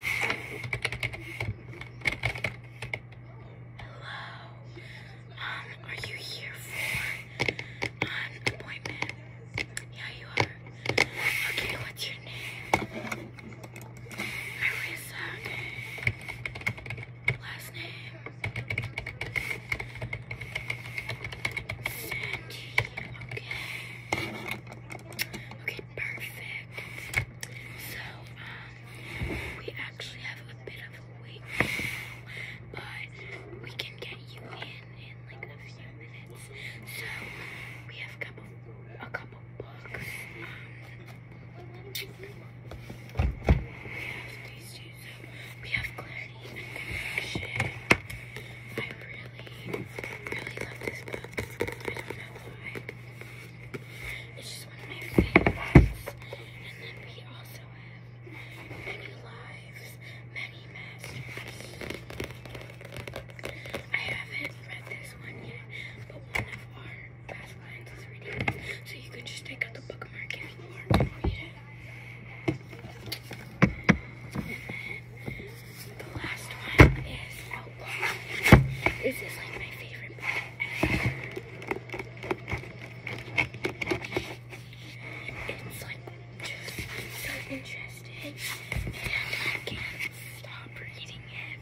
Hello. Um, are you here for an appointment? Yeah, you are. Okay, what's your name? Marissa. Last name. Sandy. Okay. Okay, perfect. So, um, we actually have a bit of a wait but we can get you in in like a few minutes. So, we have a couple, books. Um, we have these two. we have Clarity and Connection. I really, really love this book. I don't know why. It's just one of my favorite books, And then we also have many lives, many masters. I haven't read this one yet, but one of our past lines is reading this. So you can just take out the bookmark if you want and read it the last one is Outlaw. This is like my favorite book It's like just so interesting and I can't stop reading it.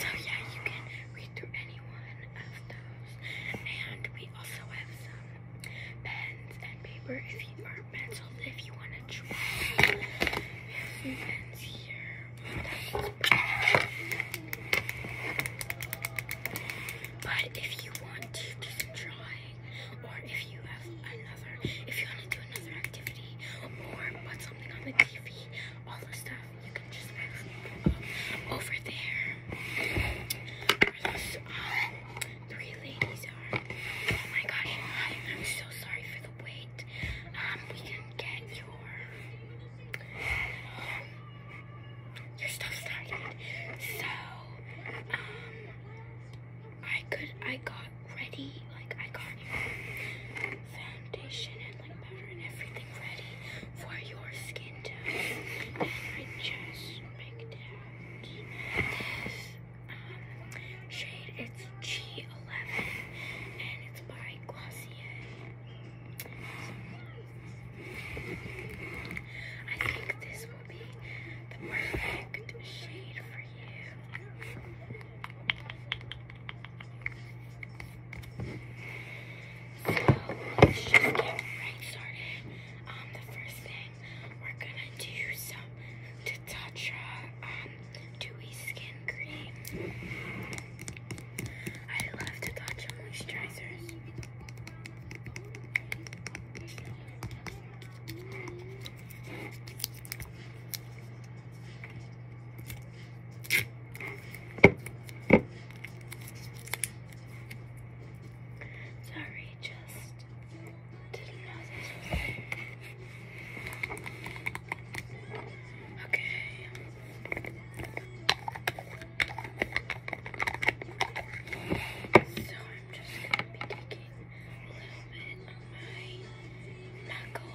So yeah, you can read through any one of those. And we also have some pens and paper if you are but if you want to try, some pens here. But if you want to do or if you have another, if you want to do another activity, or put something on the TV, all the stuff, you can just move over there. Um, three ladies are. Oh my gosh, I'm so sorry for the um, we can get your um, your stuff started. So, um, I could I got ready, like I got foundation and like powder and everything ready for your skin tone. And I just picked out this shade. It's G11 and it's by Glossier. I think this will be the perfect shade for you. So let's just get right started. Um, the first thing we're gonna do to Tatcha um, Dewy Skin Cream. I love Tatcha moisturizers. Sorry, just didn't know this was Okay. So I'm just gonna be taking a little bit of my knuckle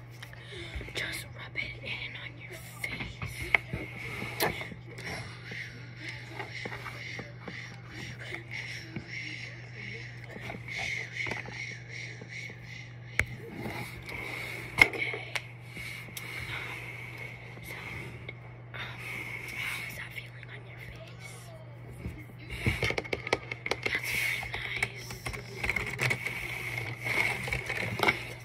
Just rub it in on your face. Okay. Um, how is that feeling on your face? That's really nice.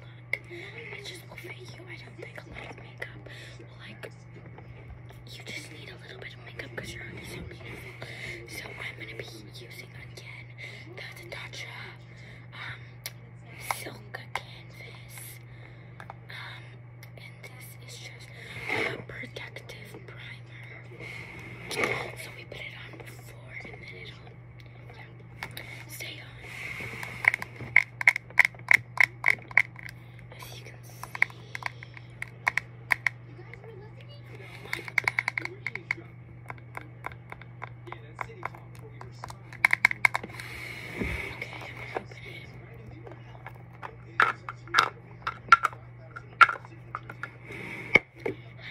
look. I just will fit you. I don't think a lot of makeup will like, you just need a little bit of makeup because your own so beautiful. So I'm going to be using again the Tatcha um, Silk Canvas. Um, and this is just a protective primer. So we put it on before and then it's will Stay on. As you can see, you guys were listening. Yeah, that city talk where we were smiling. Okay, i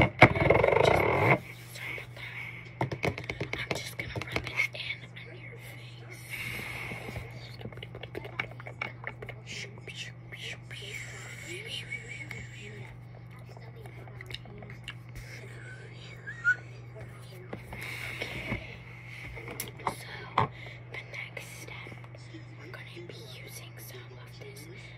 I'm just gonna rub it in on your face. Okay. So the next step, we're gonna be using some of this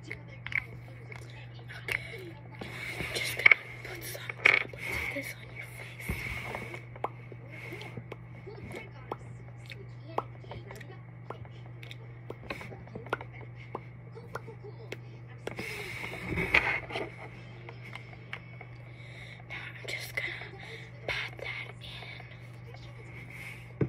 Okay, I'm just gonna put some droplets of this on your face. Now I'm just gonna pat that in.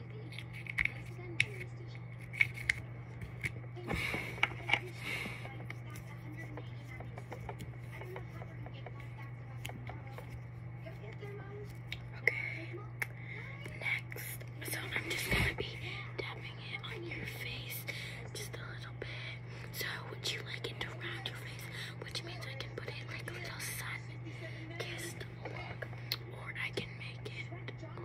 Okay. Next. So I'm just going to be tapping it on your face just a little bit. So would you like it around your face? Which means I can put it like a little sun kissed look. Or I can make it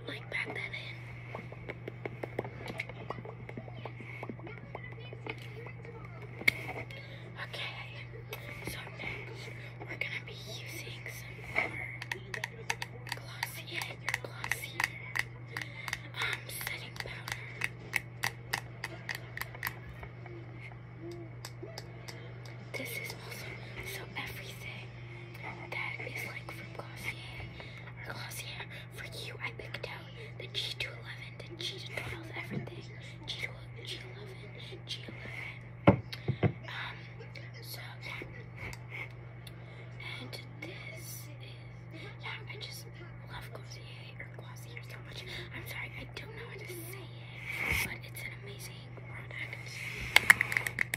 Okay, so next we're gonna be using some more glossy, yeah, um, setting powder. This is also so everything that is like from Glossier Glossier. For you, I picked out the G211, the G212, everything. G2, G11, G11. Um, so yeah. And this is, yeah, I just love Glossier or Glossier so much. I'm sorry, I don't know how to say it, but it's an amazing product.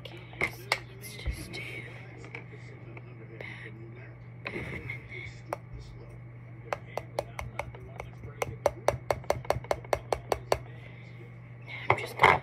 Okay, let's, let's just do back, back, and then. And I'm just gonna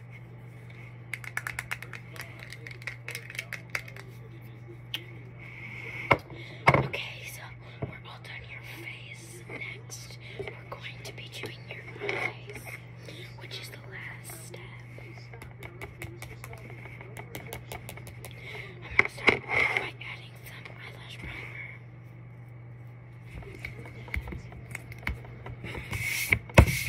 Okay, so we're all done your face. Next, we're going to be doing your eyes, which is the last step. I'm going to start by adding some eyelash primer.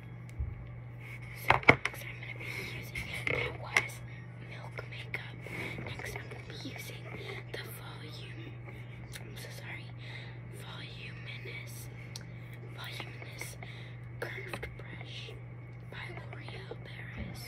So next I'm gonna be using that was milk makeup. Next I'm gonna be using the volume. I'm so sorry. Voluminous, voluminous curved brush by L'Oreal Paris.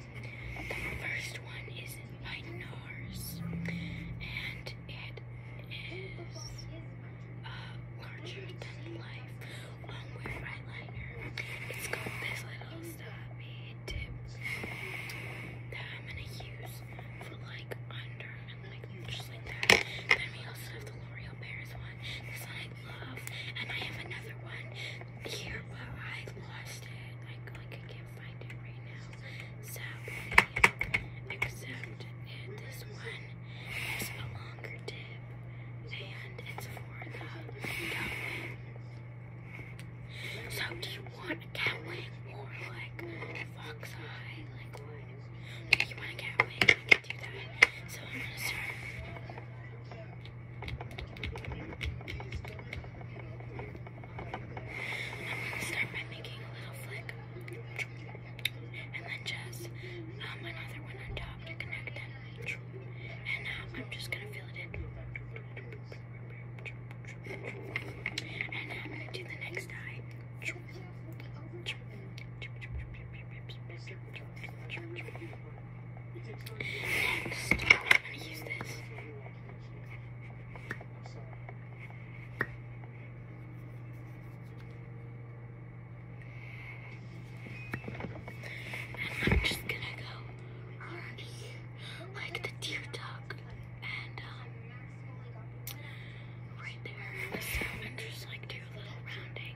The first one is by NARS, and it is uh, larger than life long wear eyeliner. It's got this little stubby tip that I'm gonna use for like under and like just like that. Then we also have the L'Oreal Paris one. This I love, and I have another one here, but i lost it. Like, like I can't find it right now. Sadly, except this one is a longer tip, and it's for the cowling. So, do you want a cowling or like fox eye? Like what? Do you want a cowling? I So I'm gonna start. Start by making a little flick, and then just um, another one on top to connect them. And now I'm just gonna fill it in. And I'm gonna do the next eye. Next, I'm to use this. And I'm just gonna go like the deer duck and um right there. So and just like do a little rounding.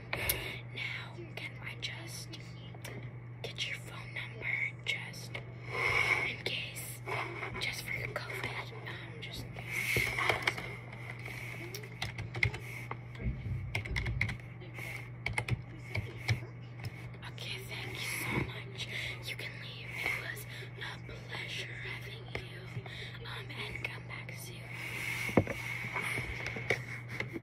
Now, can I just get your phone number just in case, just for COVID, um, just in Okay, thank you so much. You can leave. It was a pleasure having you. Um, and come back soon.